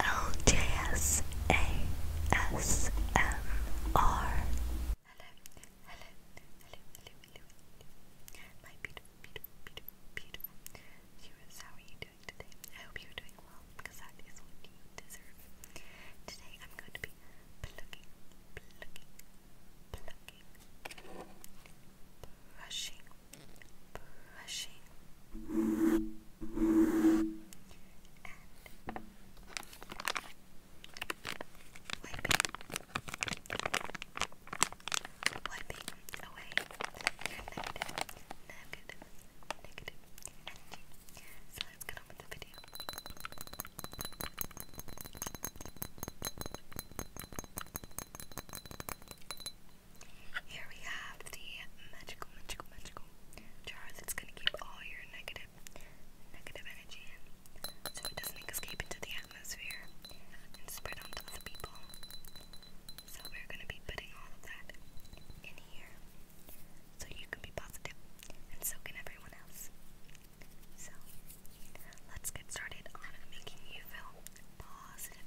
L J S A S M R. ASMR. Hello, hello, hello, hello, hello. My beautiful, beautiful, beautiful, beautiful viewers, how are you doing today? I hope you're doing well because that is what you deserve. Today I'm going to be plucking, plucking, plucking, brushing brushing so let's get on with the video here we have the magical, magical, magical jar that's going to keep all your negative, negative energy in so it doesn't escape into the atmosphere and spread onto the people. So we're going to be putting all of that in here so you can be positive and so can everyone else. So let's get started on making you feel positive.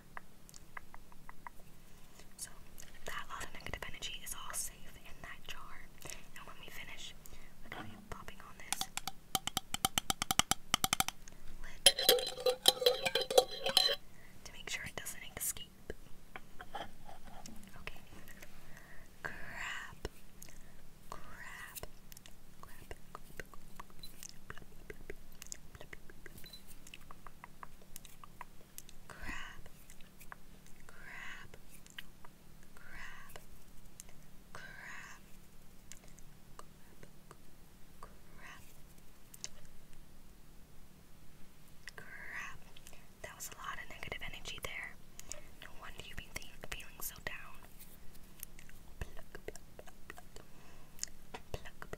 So that lot of negative energy is all safe in that jar. And when we finish, we're going to be popping on this lid to make sure it doesn't escape. Okay. Crab. Crab crab, crab, crab, crab, crab, crab. That was a lot of negative energy there. No wonder you've been feeling so down.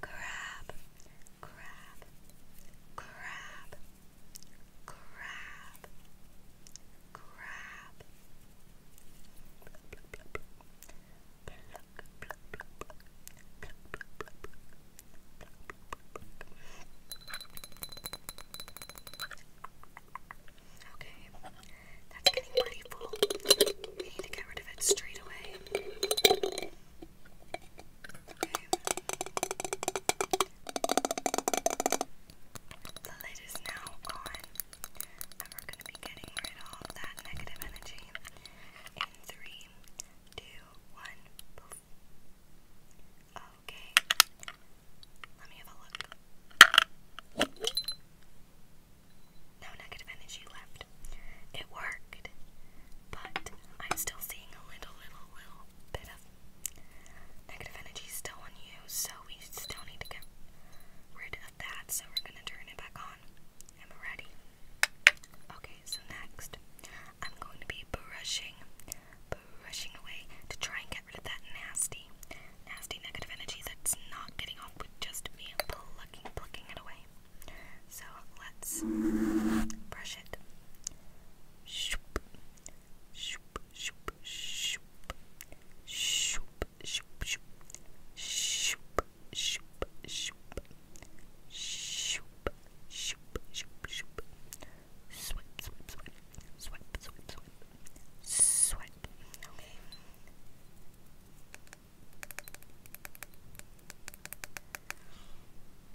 crab, crab, crab, crab, crab. Okay, that's getting pretty full. We need to get rid of it straight away. The lid is now on, and we're going to be getting rid of that negative energy in three, two, one. Poof. Okay. Let me have a look no negative energy left. It worked, but I'm still seeing a little, little, little bit of negative energy still on you, so we still need to get rid of that. So we're gonna turn it back on. i ready. Okay, so next, I'm going to be brushing, brushing away to try and get rid of that nasty, nasty negative energy that's not getting off with just me plucking it away. So let's brush it. Shoop, shoop, shoop, shoop, shoop, shoop, shoop, shoop, shoop, shoop, shoop, shoop, shoop, shoop. Swipe, swipe, swipe, swipe, swipe, swipe, swipe. Okay.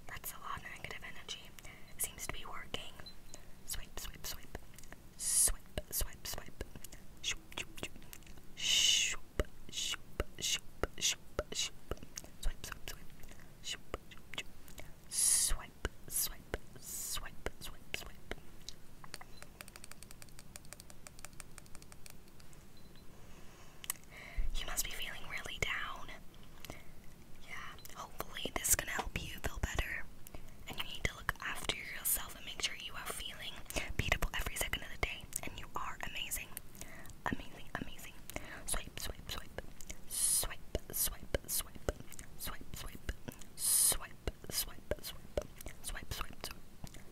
That's a lot of negative energy. Seems to be working. Swipe, swipe, swipe. Swipe, swipe, swipe. Shoop, shoop, shoop. Shoop, shoop, shoop, shoop, shoop. Swipe, swipe, swipe. Shoop, shoop, shoop. Swipe, swipe, swipe, swipe, swipe. You must be feeling really down. Yeah, hopefully this can help you feel better. And you need to look after yourself and make sure you are feeling beatable every second of the day. And you are amazing. Amazing, amazing. Swipe, swipe, swipe. Swipe, swipe, swipe. Swipe, swipe, swipe swipe, swipe, swipe, swipe, swipe,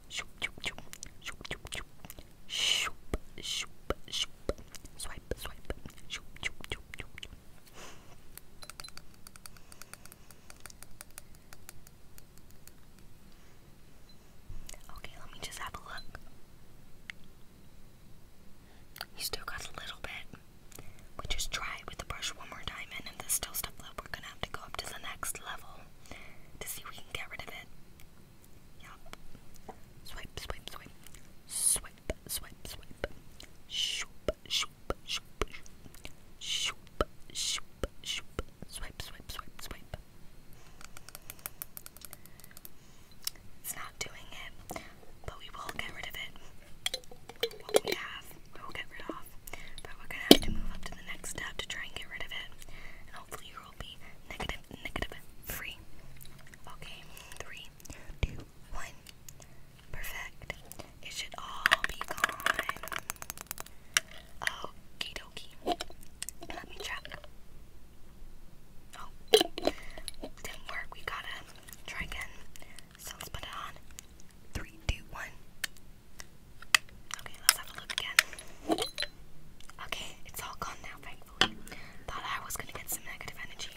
shoop, shoop, shoop, shoop, shoop, shoop, shoop, shoop, swipe, swipe, shoop, shoop, shoop, shoop. Okay, let me just have a look. You still got a little bit. We just try with the brush one more time, and if there's still stuff left, we're gonna to go up to the next level to see if we can get rid of it. Yup. Swipe, swipe, swipe. Swipe, swipe, swipe. Shoop, shoop, shoop, shoop. Shoop, shoop, shoop. Swipe, swipe, swipe, swipe. It's not doing it, but we will get rid of it we have we will get rid of, but we're gonna have to move up to the next step to try and get rid of it, and hopefully your will be negative, negative, free. Okay, three, two, one, perfect. It should all be gone. Okie dokie. Let me check. Oh, didn't work. We gotta try again. So let's put it on. Three, two, one. Okay, let's have a look again. Okay, it's all gone now, thankfully. Thought I was gonna get some negative energy.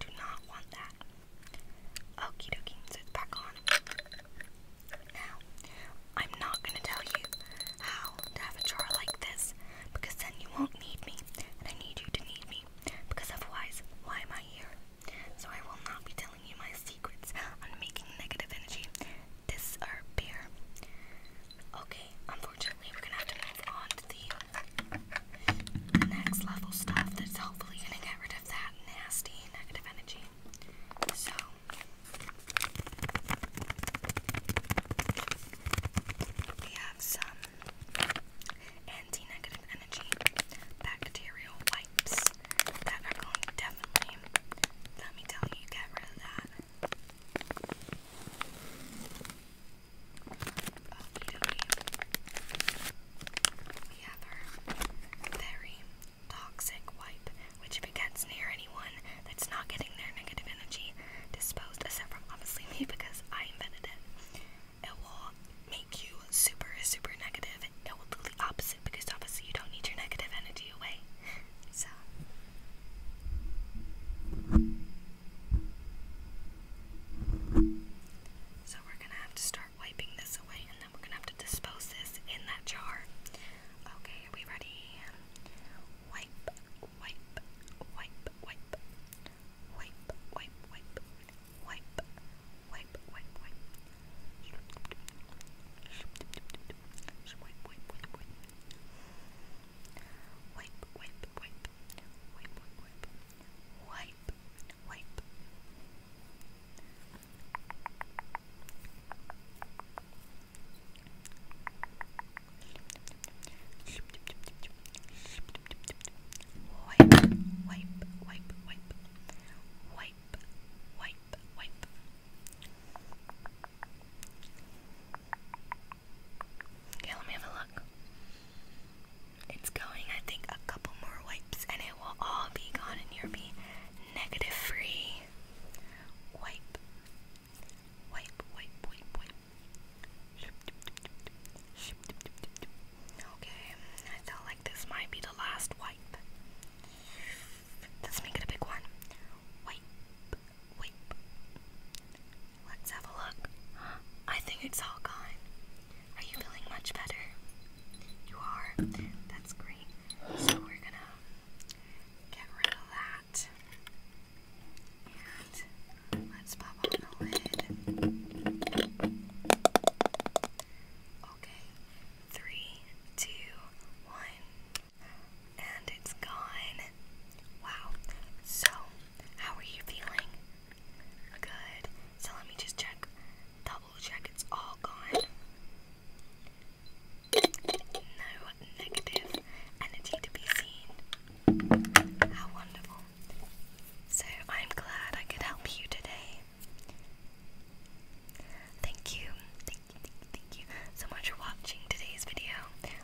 do not want that. Okie dokie, so it's back on. Now, I'm not gonna tell you how to have a jar like this, because then you won't need me, and I need you to need me, because otherwise, why am I here? So I will not be telling you my secrets on making negative energy disappear. Okay, unfortunately we're gonna have to move on to the next level stuff that's hopefully gonna get rid of that nasty negative energy. So we have some anti energy bacterial wipes that are going to definitely, let me tell you, get rid of that. We have our very toxic wipe, which if it gets near anyone that's not getting their negative energy disposed, except obviously me because I invented it it will make you super, super negative. It will do the opposite because obviously you don't need your negative energy away. So. we're gonna have to start wiping this away and then we're gonna have to dispose this in that jar. Okay, are we ready? Wipe, wipe, wipe, wipe, wipe, wipe, wipe, wipe, wipe, wipe, wipe. Wipe, wipe, wipe, wipe. Wipe, wipe, wipe. Wipe, wipe, wipe. Wipe, wipe. Wipe, Wipe, wipe, wipe, wipe, wipe, wipe, wipe. Okay, let me have a look. It's going, I think, a couple more wipes, and it will all be gone, and you'll be negative free. Wipe, wipe, wipe, wipe, wipe. Okay, I feel like this might be the last wipe. Let's a big one. Wipe, wipe. Let's have a look. I think it's all gone. Are you feeling much better? You are. That's great. So we're gonna get rid of that. And let's pop on the lid. Okay, three, two, one. And it's gone. Wow. So, how are you feeling? Good. So, let me just check, double check it's all gone. No negative energy to be seen. How wonderful. So I'm glad I could help you today. Thank you, thank you, thank you, thank you so much for watching today's video.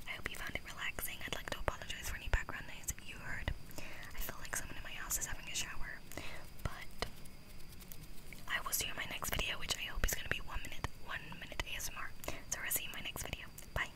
I hope you found it relaxing. I'd like to apologize for any background noise you heard. I feel like someone in my house is having a shower, but I will see you in my next video, which I hope is going to be one minute, one minute ASMR. So I'll see you in my next video. Bye.